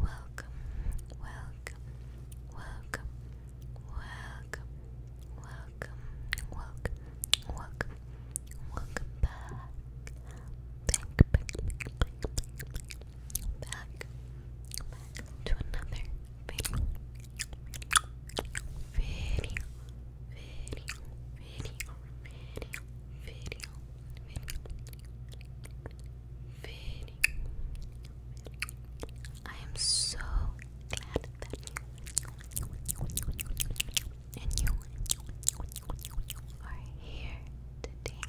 Welcome, welcome, welcome, welcome, welcome, welcome, welcome, welcome back. Back, back, back, back, back, back, back to another video, video, video, video, video, video, video. I am so glad that you and you are here today,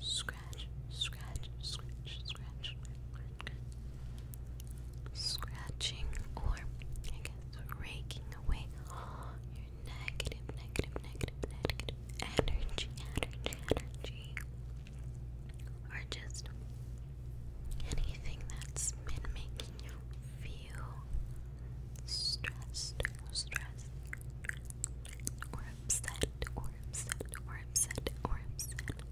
Scratch, scratch, scratch, scratch, scratching, or raking away your negative, negative, negative, negative energy, energy, energy, or just anything that's been making you feel stressed, stressed, or upset or upset or upset or upset.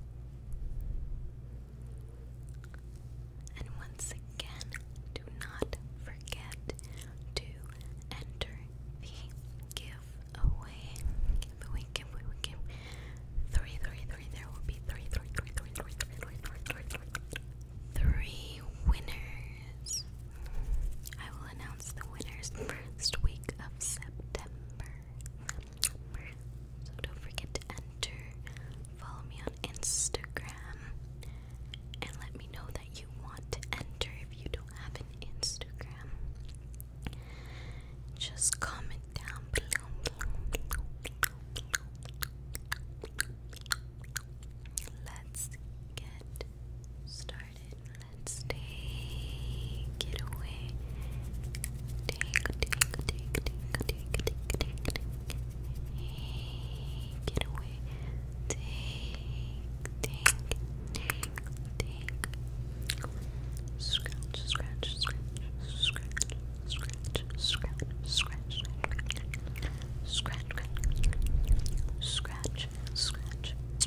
And once again, do not forget to enter the giveaway. Giveaway, giveaway, giveaway. Three, three, three. There will be three, three, three, three, three, three, three, three, three, three, three winners. I will announce the winners first week of September. September. So don't forget to enter. Follow me on Instagram and let me know that you want to enter if you don't have an Instagram. Just comment down below. Let's get started let's take it away. Take, take, take, take, take, take, take, take. Take it away. Take, take, take, take. Scratch, scratch, scratch, scratch, scratch, scratch, scratch, scratch, scratch, scratch, scratch,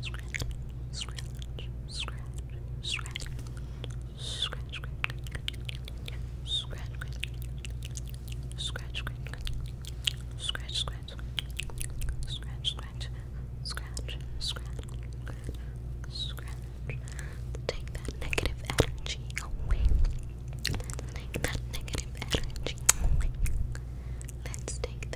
scratch, scratch, scratch, scratch, scratch, scratch, scratch, scratch, scratch, scratch, scratch, scratch, scratch, scratch, scratch. Take that negative energy away. Take that negative energy away. Let's take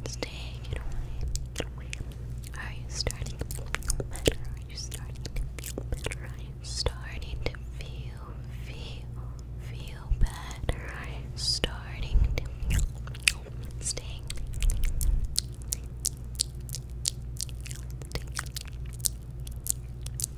Let's take Are you starting to feel better? Are you starting to feel better? Are you starting to feel, feel, feel better? Are you starting to feel staying?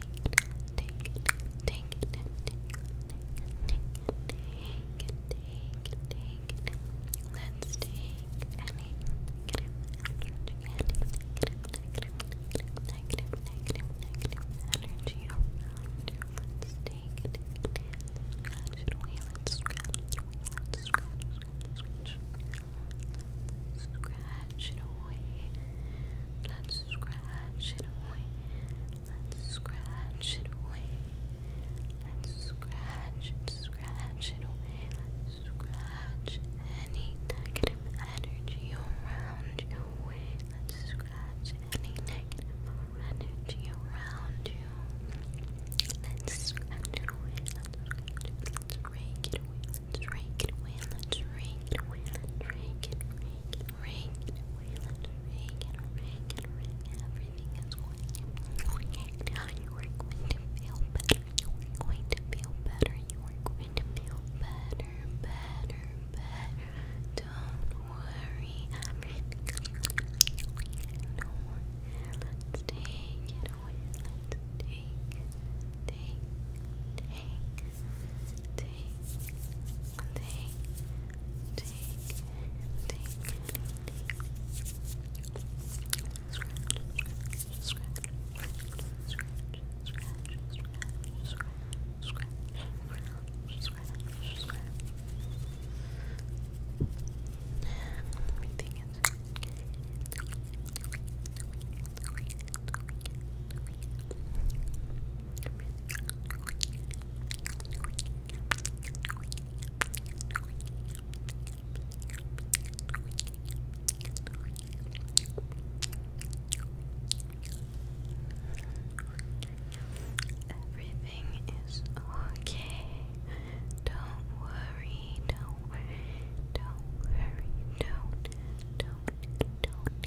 Let's take any negative, negative, negative, negative energy around. Let's take it. Scratch it away. Let's scratch it away. Let's Scratch it away. Let's scratch it away. Let's scratch it away. Let's scratch it, scratch it away. Let's scratch any negative energy around you away. Let's scratch any negative energy around you. Let's scratch it away. Let's scratch it. it away. Let's rake it away. Let's rake it away. Let's rake it, rake ring, Wayland ring, and ring, ring, everything is going to You are going to feel better. You are going to feel better. You are going to feel better, better, better. Don't worry. Let's take it away. Let's take, take, take, take Take, take, take, take. Scratch, scratch, scratch, scratch, scratch, scratch, scratch, scratch, scratch, scratch. Everything is okay. Everything is okay. Don't worry, don't worry, don't worry, don't, don't, don't,